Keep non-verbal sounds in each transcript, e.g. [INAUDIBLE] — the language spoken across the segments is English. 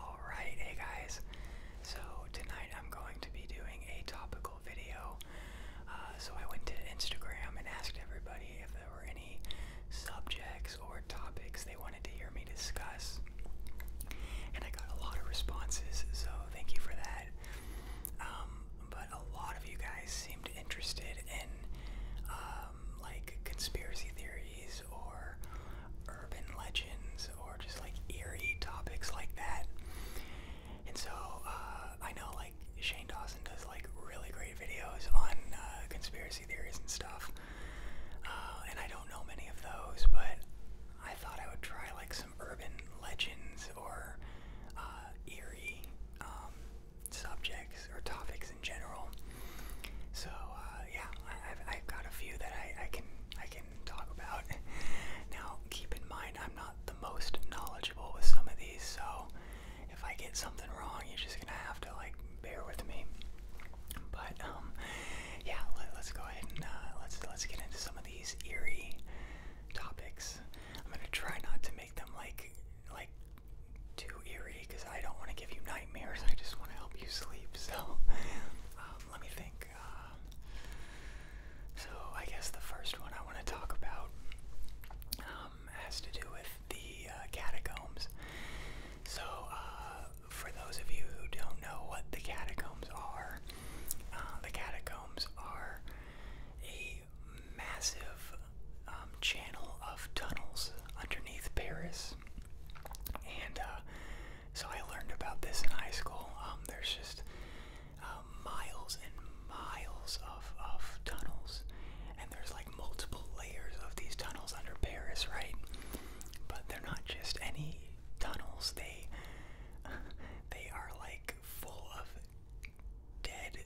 Alright, hey guys. So tonight I'm going to be doing a topical video. Uh, so I went to Instagram and asked everybody if there were any subjects or topics they wanted to hear me discuss and I got a lot of responses, so thank you for that. Um, but a lot of you guys seemed interested in um, like conspiracy theories or urban legends or just like eerie topics like that. And so uh, I know like Shane Dawson does like really great videos on uh, conspiracy theories and stuff, uh, and I don't know many of those, but I thought I would try like some urban legends or uh, eerie um, subjects or topics in general. So uh, yeah, I, have got a few that I, can I can talk about. [LAUGHS] Now keep in mind I'm not the most knowledgeable with some of these, so if I get something wrong, you're just gonna have to like bear with me. But um, yeah, let, us go ahead and uh, let's let's get into some of these these eerie topics. I'm gonna try not to make them like like too eerie because I don't want to give you nightmares. I just want to help you sleep. So [LAUGHS] um, let me think. Uh, so I guess the first one I want to talk about um, has to do with the uh, catacombs. So uh, for those of you who don't know what the catacombs are, uh, the catacombs are a massive um, channel of tunnels underneath Paris. And uh, so I learned about this in high school. Um, there's just uh, miles and miles of, of tunnels, and there's like multiple layers of these tunnels under Paris, right? But they're not just any tunnels, they [LAUGHS] they are like full of dead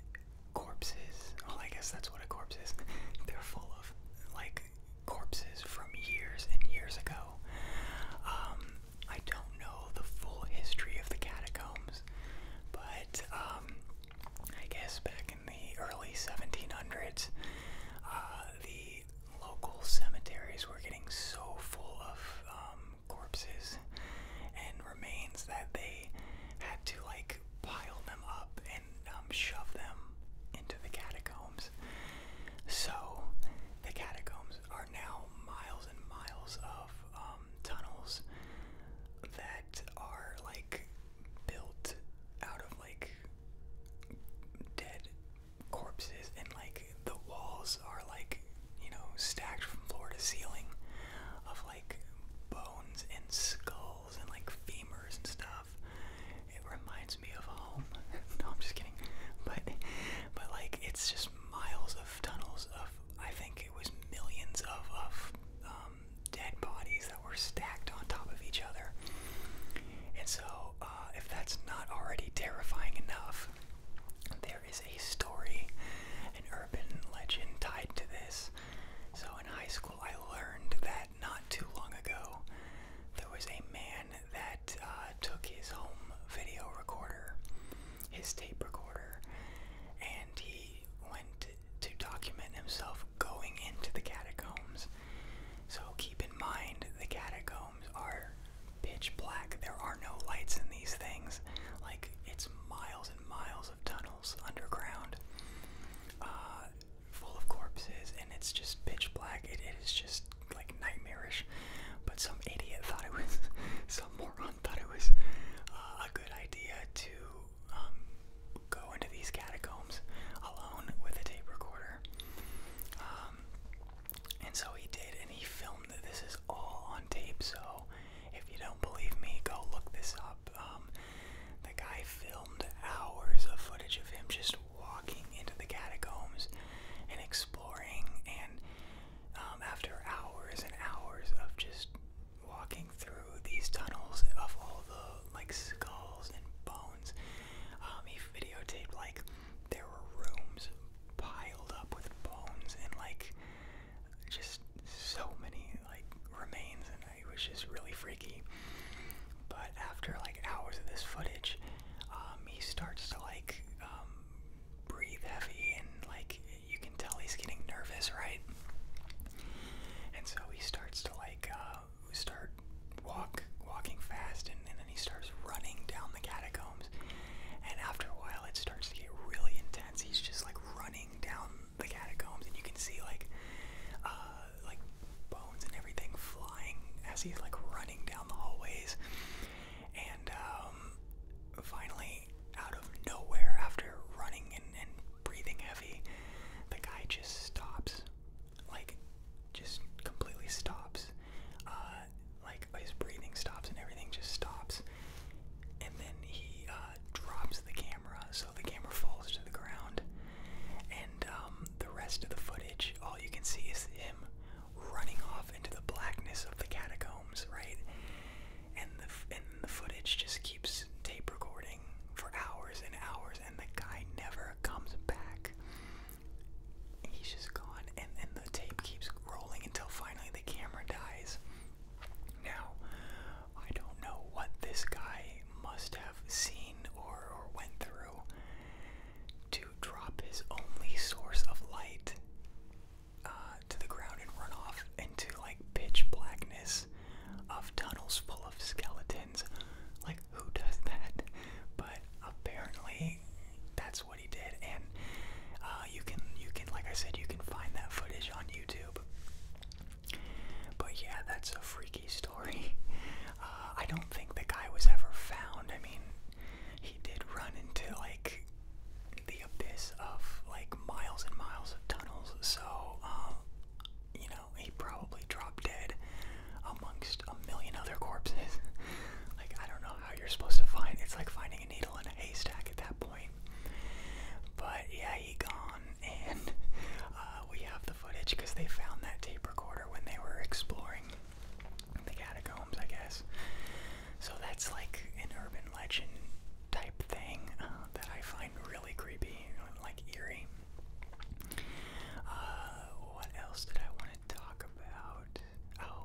corpses. Well, I guess that's what a corpse is. [LAUGHS] They're full of like corpses from years and years ago. Um, I don't know the full history of the catacombs, but um, I guess back in the early 1700s, uh, the local cemeteries were getting so full of um, corpses and remains that they had to like pile them up and um, shove them into the catacombs. So the catacombs are now miles and miles of um, tunnels that are like built out of like dead corpses and like the walls are like you know stacked from floor to ceiling of like bones and skulls and like femurs and stuff it reminds me of home [LAUGHS] no i'm just kidding but but like it's just miles of tunnels of i think it was millions of of um, dead bodies that were stacked on top of each other and so uh, if that's not already terrifying enough, there is a story, an urban legend tied to this. So, in high school, I learned that not too long ago, there was a man that uh, took his home video recorder, his tape recorder, and he went to document himself going into the catacombs. So, keep in mind the catacombs are pitch black. There are no lights in these things. Like it's miles and miles of tunnels underground, uh, full of corpses, and it's just pitch black. it is just like nightmarish. But some idiot thought it was, [LAUGHS] some moron thought it was uh, a good idea to um, go into these catacombs alone with a tape recorder. Um, and so he did, and he filmed that. This is all on tape, so if you don't believe me, go look this up. Um, the guy filmed hours of footage of him just walking into the catacombs and exploring, and um, after hours and hours of just walking through these tunnels of all the like skulls and bones, um, he videotaped like there were rooms piled up with bones and like just so many like remains and it was just really freaky but after like hours of this footage um, he starts to like um, breathe heavy and like you can tell he's getting nervous right and so he starts to like uh, start walk walking fast and, then he starts running down the catacombs and after a while it starts to get really intense he's just like running down the catacombs and you can see like uh, like bones and everything flying as he's like running down the hallways and um, finally out of nowhere after running and breathing heavy the guy just stops like just completely stops. Uh, like his breathing stops and everything just stops. And then he uh, drops the camera, so the camera falls to the ground. And um, the rest of the footage, all you can see is him running off into the blackness of the catacombs, right? And the and the footage just keeps tape recording for hours and hours, and the guy never comes back he's just gone, and then the tape keeps rolling until finally the camera dies. Now, I don't know what this guy must have seen or, went through to drop his only source of light uh, to the ground and run off into like pitch blackness of tunnels full of skeletons. Like, who does that? But apparently, that's what he did, and uh, you can you can like I said you can find that footage on YouTube. But yeah, that's a freaky story. [LAUGHS] Uh, I don't think the guy was ever found. I mean, he did run into like the abyss of like miles and miles of tunnels. So, um, you know, he probably dropped dead amongst a million other corpses. [LAUGHS] like, I don't know how you're supposed to find it's like finding a needle in a haystack at that point. But yeah, he gone, [LAUGHS] and uh, we have the footage because they found that tape recorder when they were exploring the catacombs, I guess. So that's like an urban legend type thing uh, that I find really creepy, and like eerie. Uh, what else did I want talk about. Oh,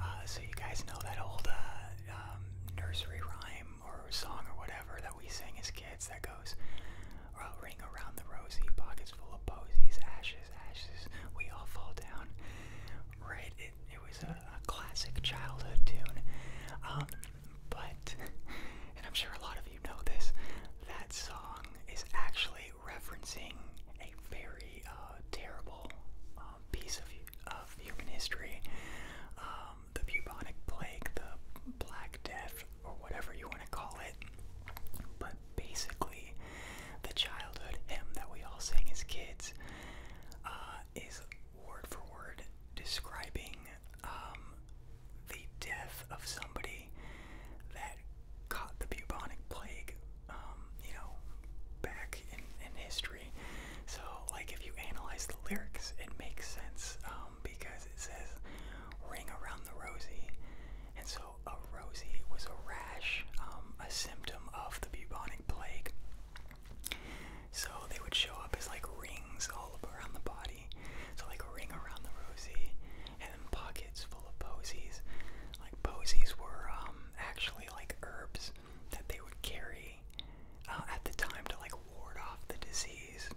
uh, so you guys know that old uh, um, nursery rhyme or song or whatever that we sing as kids that goes, well, Ring around the rosy, pockets full of posies, ashes, ashes, we all fall down. Right? It, was a, classic childhood tune. Um, but, [LAUGHS] and I'm sure a lot of you know this, that song is actually referencing a very uh, terrible um, piece of, of human history, um, the bubonic plague, the Black Death, or whatever you want to call it. But basically, the childhood hymn that we all sing as kids uh, is word for word describing um, the death of somebody that caught the bubonic plague, um, you know, back in, in history. So, like, if you analyze the lyrics, it makes sense um, because it says ring around the rosy. And so, a rosy was a rash, um, a symptom of the bubonic plague. So, they would show up as like rings all around the body. So, like, a ring around the rosy and pockets full of posies. Like posies were um, actually like herbs that they would carry uh, at the time to like ward off the disease.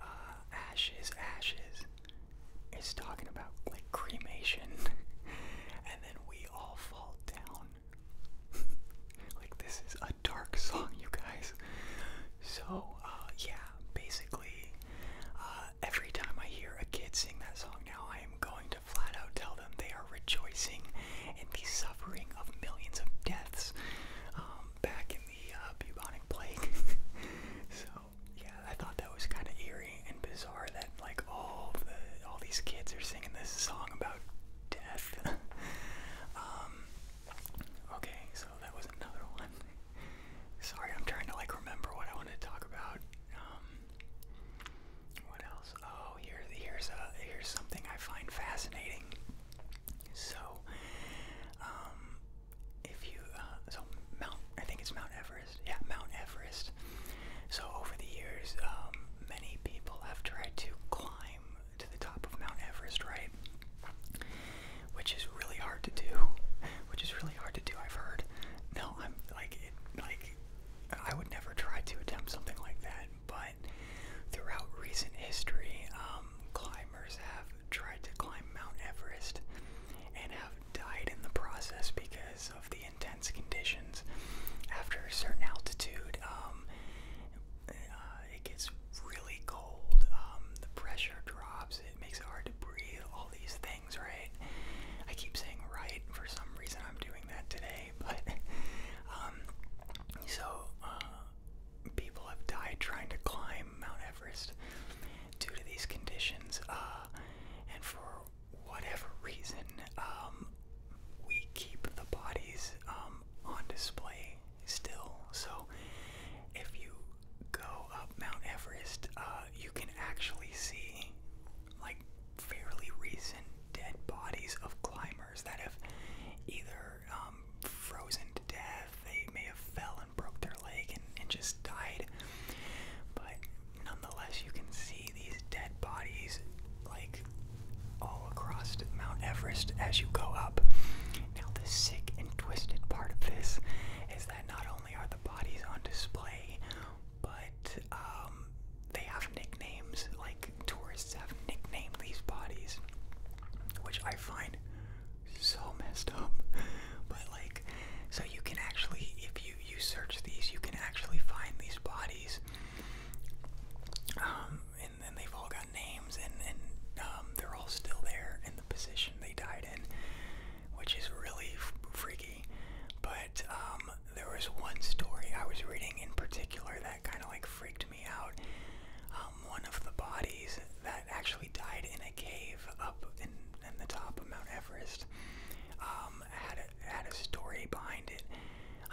Uh, ashes, ashes is talking about like cremation, [LAUGHS] and then we all fall down. [LAUGHS] like this is a dark song, you guys. So uh, yeah, basically uh, every time I hear a kid sing that song now, I am going to flat out tell them they are rejoicing in the suffering of millions of deaths um, back in the uh, bubonic plague. [LAUGHS] so yeah, I thought that was kind of eerie and bizarre that like all the all these kids are singing this song about death. [LAUGHS] Um, okay, so that was another [LAUGHS] one. Sorry, I'm trying to like remember what I want to talk about. Um, what else? Oh, here, here's a here's something I find fascinating. So, um, if you uh, so Mount, I think it's Mount Everest. Yeah, Mount Everest. So over the years, um, many people have tried to climb to the top of Mount Everest, right? which is really hard to do. [LAUGHS] Which is really hard to do. I've heard. No, I'm like like I would never try to attempt something like that. But throughout recent history, um, climbers have tried to climb Mount Everest and have died in the process because of the intense conditions. After a certain altitude, um, uh, it gets really cold. Um, the pressure drops it, makes it hard to breathe, all these things, right? I keep saying right for some reason I'm doing that today, [LAUGHS] but um so uh people have died trying to climb Mount Everest due to these conditions uh and for whatever reason um we keep the bodies um on display still so if you go up Mount Everest, uh, you can actually see like fairly recent dead bodies of climbers that have either um, frozen to death, they may have fell and broke their leg and, just died. But nonetheless, you can see these dead bodies like all across Mount Everest as you go up. Now, the sick and twisted part of this is that not only are the bodies on display, but um, they have nicknames. Like tourists have nicknamed these bodies, which I find so [LAUGHS] messed up. But like, so you can actually, if you you search these, you can actually find these bodies. Um, and then they've all got names, and and um, they're all still there in the position they died in which is really freaky. But um, there was one story I was reading in particular that kind of like freaked me out. Um, one of the bodies that actually died in a cave up in, the top of Mount Everest um, had had a story behind it.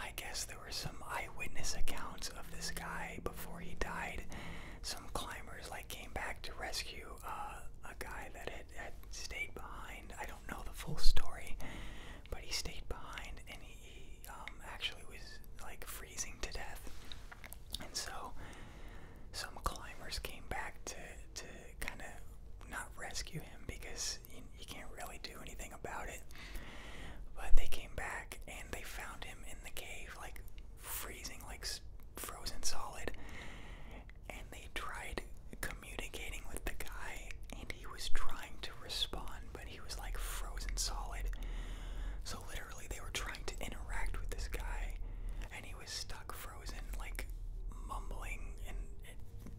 I guess there were some eyewitness accounts of this guy before he died. Some climbers like came back to rescue uh, a guy that had, stayed behind. I don't know the full story, but he stayed behind and he, um, actually was like freezing to death. And so some climbers came back to, to kind of not rescue him because you, you can't really do anything about it. But they came back and they found him in the cave, like freezing, like frozen solid. And they tried communicating with the guy, and he was trying to respond, but he was like frozen solid. So literally, they were trying to interact with this guy, and he was stuck frozen, like mumbling. And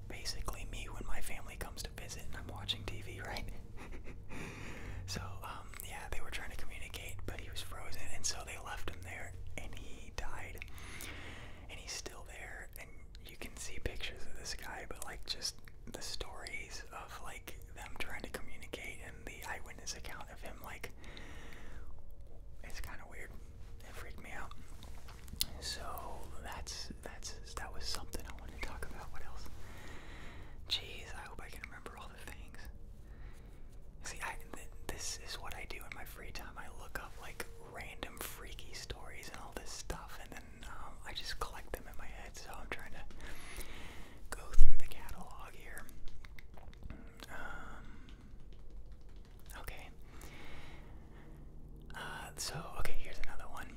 basically, me when my family comes to visit and I'm watching TV, right? [LAUGHS] so, um, yeah, they were trying to communicate, but he was frozen, and so they left him there, and he died. And he's still there, and you can see pictures of this guy, but like just the stories of like them trying to communicate and the eyewitness account of him, like it's kind of weird. It freaked me out. So that's that's that was something I wanted to talk about. What else? Jeez, I hope I can remember all the things. See, this is what I do in my free time. I look up like random freaky stories and all this stuff, and then um, I just collect them in my head. So I'm trying to go through the catalog here. Um, okay. Uh, so okay, here's another one.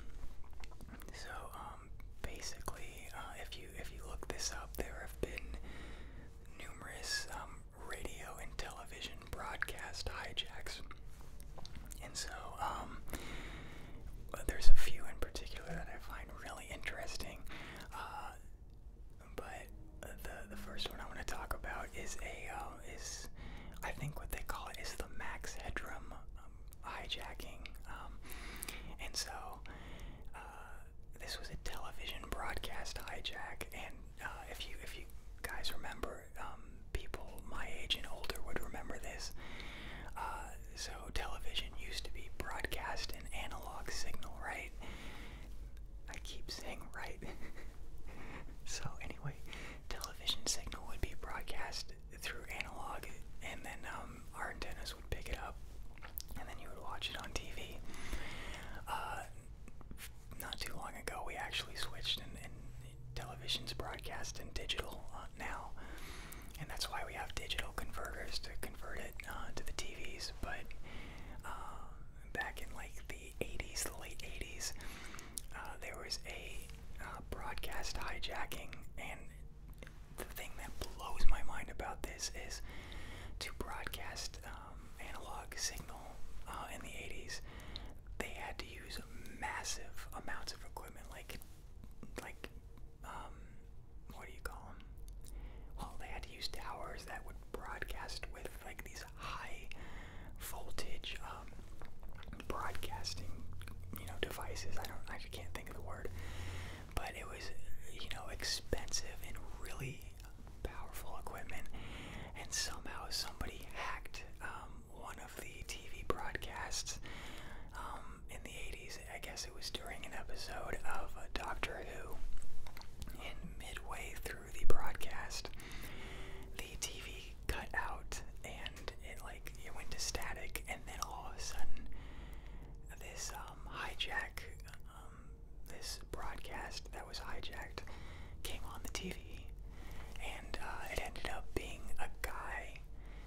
So um, basically, uh, if you if you look this up, there have been numerous um, radio and television broadcast hijacks. And so um, there's a few in particular that I find really interesting. Uh, but the the first one I want to talk about is a uh, is I think what they call it is the Max Headroom um, hijacking. and so uh, this was a television broadcast hijack, and uh, if you if you guys remember, um, people my age and older would remember this. Uh, so television used to be broadcast in analog signal, right? I keep saying right. [LAUGHS] so anyway, television signal would be broadcast through analog, and then um, our antennas would pick it up and then you would watch it on TV. Uh, not too long ago, we actually switched, and, and television's broadcast in digital uh, now, and that's why we have digital converters to convert it uh, to the TVs. But uh, back in like the 80s, the late 80s, uh, there was a uh, broadcast hijacking, and the thing that blows my mind about this is to broadcast um, analog signal uh, in the 80s, they had to use massive amounts of equipment, like, like, um, what do you call them? Well, they had to use towers that would broadcast with like these high voltage um, broadcasting, you know, devices. I don't, I just can't think of the word but it was you know expensive and really powerful equipment and somehow somebody hacked um, one of the TV broadcasts um, in the 80s I guess it was during an episode of Doctor Who and midway through the broadcast the TV cut out and it like it went to static and then all of a sudden this um, hijack this broadcast that was hijacked came on the TV, and uh, it ended up being a guy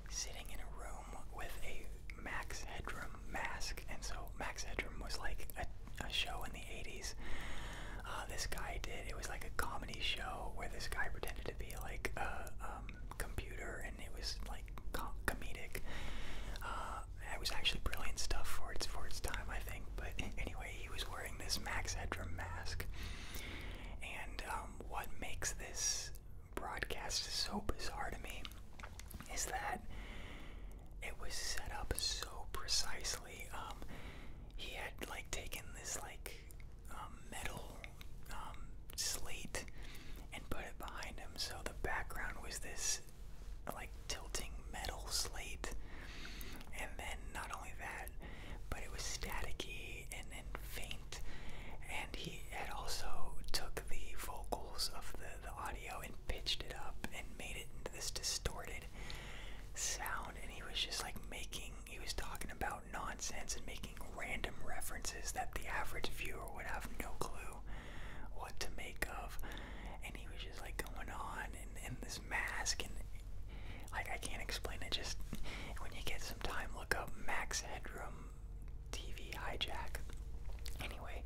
sitting in a room with a Max Headroom mask. And so Max Headroom was like a, show in the 80s. Uh, this guy did. It was like a comedy show where this guy pretended to be like a um, computer, and it was like comedic. Uh, that was actually brilliant stuff for its for its time, I think. But [LAUGHS] anyway, he was wearing this Max Headroom mask, and um, what makes this broadcast so bizarre to me is that it was set up so precisely. Um, he had like taken this like um, metal slate and put it behind him, so the background was this like tilting metal slate. And then not only that, but it was staticky and then faint. And he had also took the vocals of the, the audio and pitched it up and made it into this distorted sound. And he was just like making, he was talking about nonsense and making random references that the average viewer would have no clue what to make of. And he was just like going on and, and this mask and like I can't explain it. Just when you get some time, look up Max Headroom TV hijack. Anyway,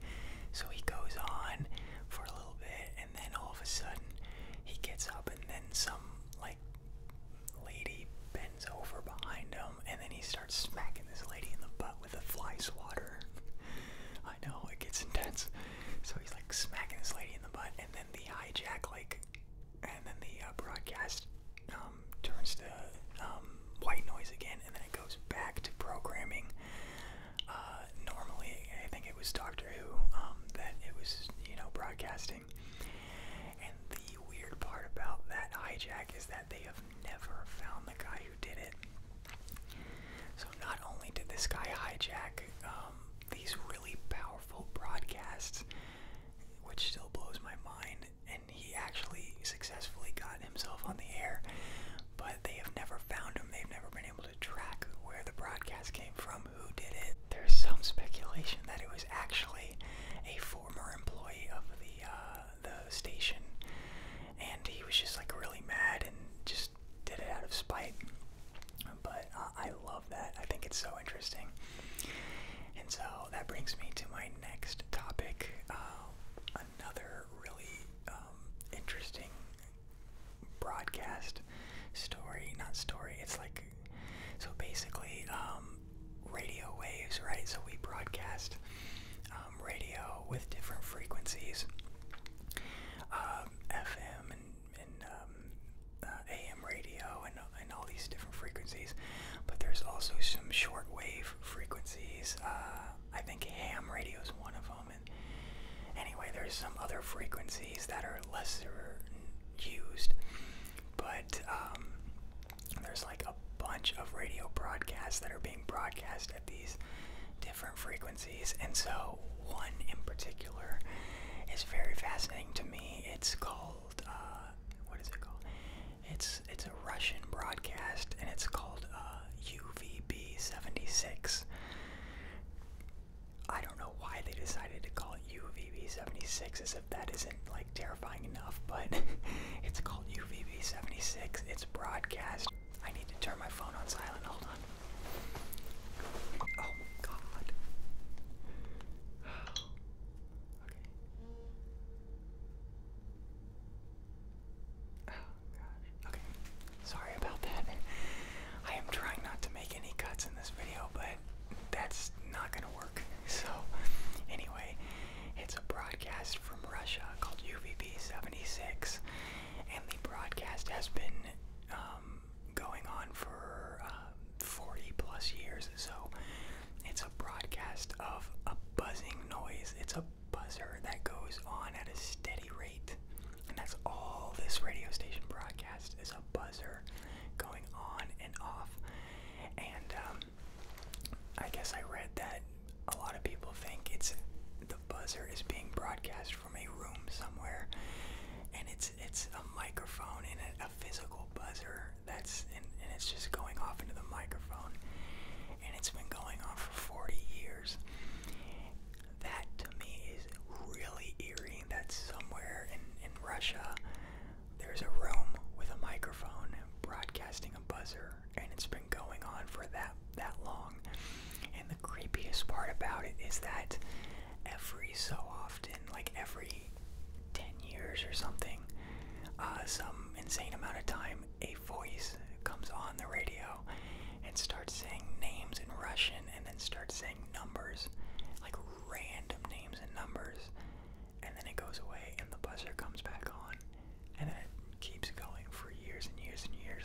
so he goes on for a little bit, and then all of a sudden he gets up, and then some like lady bends over behind him, and then he starts smacking this lady in the butt the fly swatter. I know, it gets intense. So he's like smacking this lady in the butt, and then the hijack, like, and then the uh, broadcast um, turns to um, white noise again, and then it goes back to programming. Uh, normally, I think it was Doctor Who um, that it was, you know, broadcasting. And the weird part about that hijack is that they have never found the guy who did it. So not only did this guy hijack um, these really powerful broadcasts, which still blows my mind, and he actually successfully got himself on the air, but they have never found him. They've never been able to track where the broadcast came from, who did it. There's some speculation that it was actually a former employee of the uh, the station and he was just like really mad and just did it out of spite. But I love that. I think it's so interesting. And so that brings me to my next topic. Uh, another really um, interesting broadcast story. Not story, it's like. So basically, um, radio waves, right? So we broadcast um, um, radio with different frequencies, FM um, and, AM um, uh, radio and, and all these different frequencies. But there's also some shortwave frequencies. Uh, I think ham radio is one of them. And anyway, there's some other frequencies that are lesser used, but there's like a bunch of radio broadcasts that are being broadcasted these different frequencies. And so, one in particular is very fascinating to me. It's called, uh, what is it called? It's, it's a Russian broadcast and it's called UVB uh, 76. I don't know why they decided to call it UVB 76 as if that isn't like terrifying enough, but [LAUGHS] it's called UVB76, it's broadcast. I need to turn my phone on silent. Hold on. Oh, God. [SIGHS] Okay. Oh, gosh. Okay. Sorry about that. [LAUGHS] I am trying not to make any cuts in this video, but that's not gonna work. [LAUGHS] So, anyway, it's a broadcast from Russia called UVB 76, and the broadcast has been um, going on for uh, 40 plus years. So it's a broadcast of a buzzing noise. It's a buzzer that goes on at a steady rate, and that's all this radio station broadcast is a buzzer going on and off. And um, I guess I read that a lot of people think it's the buzzer is being broadcast from a room somewhere, and it's it's a microphone and a, a physical buzzer that's and, and it's just going off into the microphone, and it's been going on for 40 years. That to me is really eerie. That somewhere in in Russia, there's a room with a microphone broadcasting a buzzer and it's been going on for that that long. And the creepiest part about it is that every so often, like every 10 years or something, uh, some insane amount of time, a voice comes on the radio and starts saying names in Russian and then starts saying numbers, like random names and numbers, and then it goes away and the buzzer comes back on and it keeps going for years and years and years.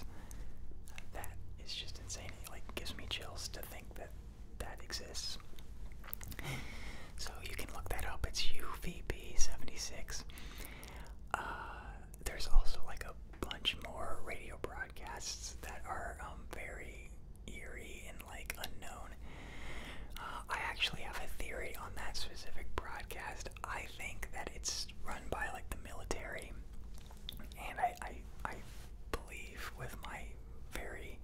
That is just insane. It like gives me chills to think that that exists. So you can look that up. It's UVB76. Uh, there's also like a bunch more radio broadcasts that are um, very eerie and like unknown. Uh, I actually have a theory on that specific broadcast. I think that it's run by like the military, and I I, I believe with my very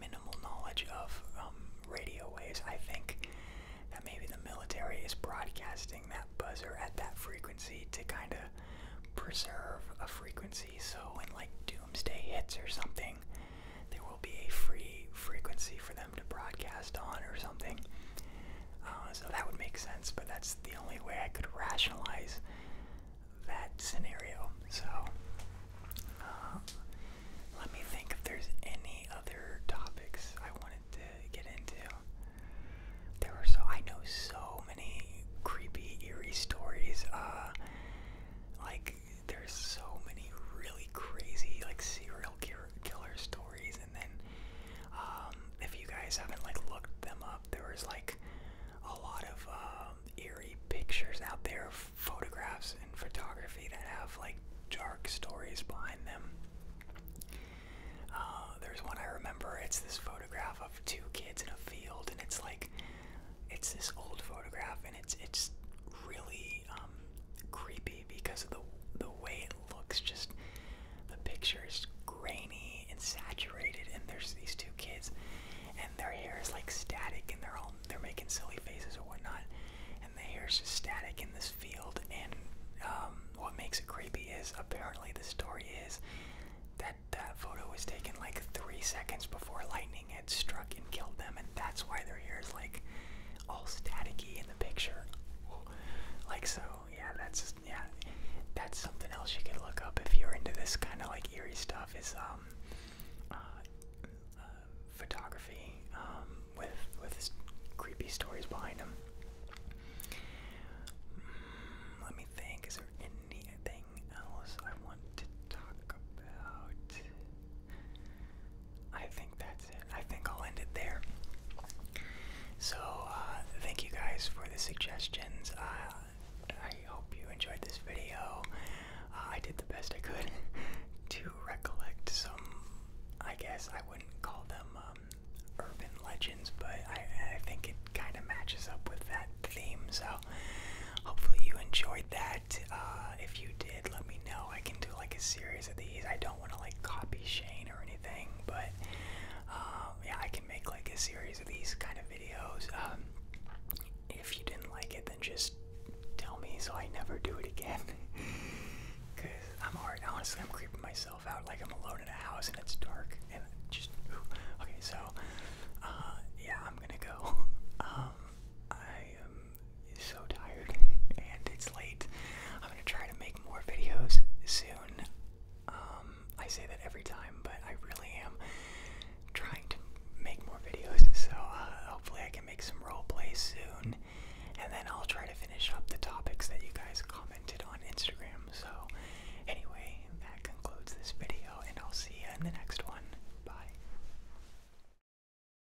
minimal knowledge of um, radio waves, I think that maybe the military is broadcasting that buzzer at that frequency to kind of preserve a frequency so when like doomsday hits or something, they will will be a free frequency for them to broadcast on or something. Uh, so that would make sense, but that's the only way I could rationalize that scenario. So uh, let me think if there's any other topics I wanted to get into. There were so I know so many creepy, eerie stories. Uh, like there's so many really crazy, like serial killer killer killer stories, and then um, if you guys haven't like looked them up, there was like a lot of um, eerie pictures out there, of photographs and photography that have like dark stories behind them. Uh, there's one I remember. It's this photograph of two kids in a field, and it's like it's this old photograph, and it's it's really. Um, um, creepy because of the the way it looks. Just the picture is grainy and saturated, and there's these two kids, and their hair is like static, and they're all they're making silly faces or whatnot, and the hair is just static in this field. And um, what makes it creepy is apparently the story is that that photo was taken like three seconds before lightning had struck and killed them, and that's why their hair is like all staticky in the picture. Like so, yeah, that's yeah, that's something else you can look up if you're into this kind of like eerie stuff is um, uh, uh, photography um, with with creepy stories behind them. Hmm, let me think. Is there anything else I want to talk about? I think that's it. I think I'll end it there. So, uh, thank you guys for the suggestions. Uh, I hope you enjoyed this video. Uh, I did the best I could [LAUGHS] to recollect some, I guess I wouldn't call them um, urban legends, but I, I think it kind of matches up with that theme. So, hopefully, you enjoyed that. Uh, if you did, let me know. I can do like a series of these. I don't want to like copy Shane or anything, but um, yeah, I can make like a series of these kind of videos. Um, if you didn't like it, then just tell me so I never do it again. [LAUGHS] Cause I'm already honestly I'm creeping myself out. Like I'm alone in a house and it's dark and just ooh. okay. So uh, yeah, I'm gonna go. [LAUGHS] Um, I I'm so tired [LAUGHS] and it's late. I'm gonna try to make more videos soon. Um, I say that every time, but I really am trying to make more videos. So uh, hopefully I can make some role plays soon, and then I'll try to finish up the topics that you guys commented on Instagram. So anyway, that concludes this video, and I'll see you in the next one. Bye.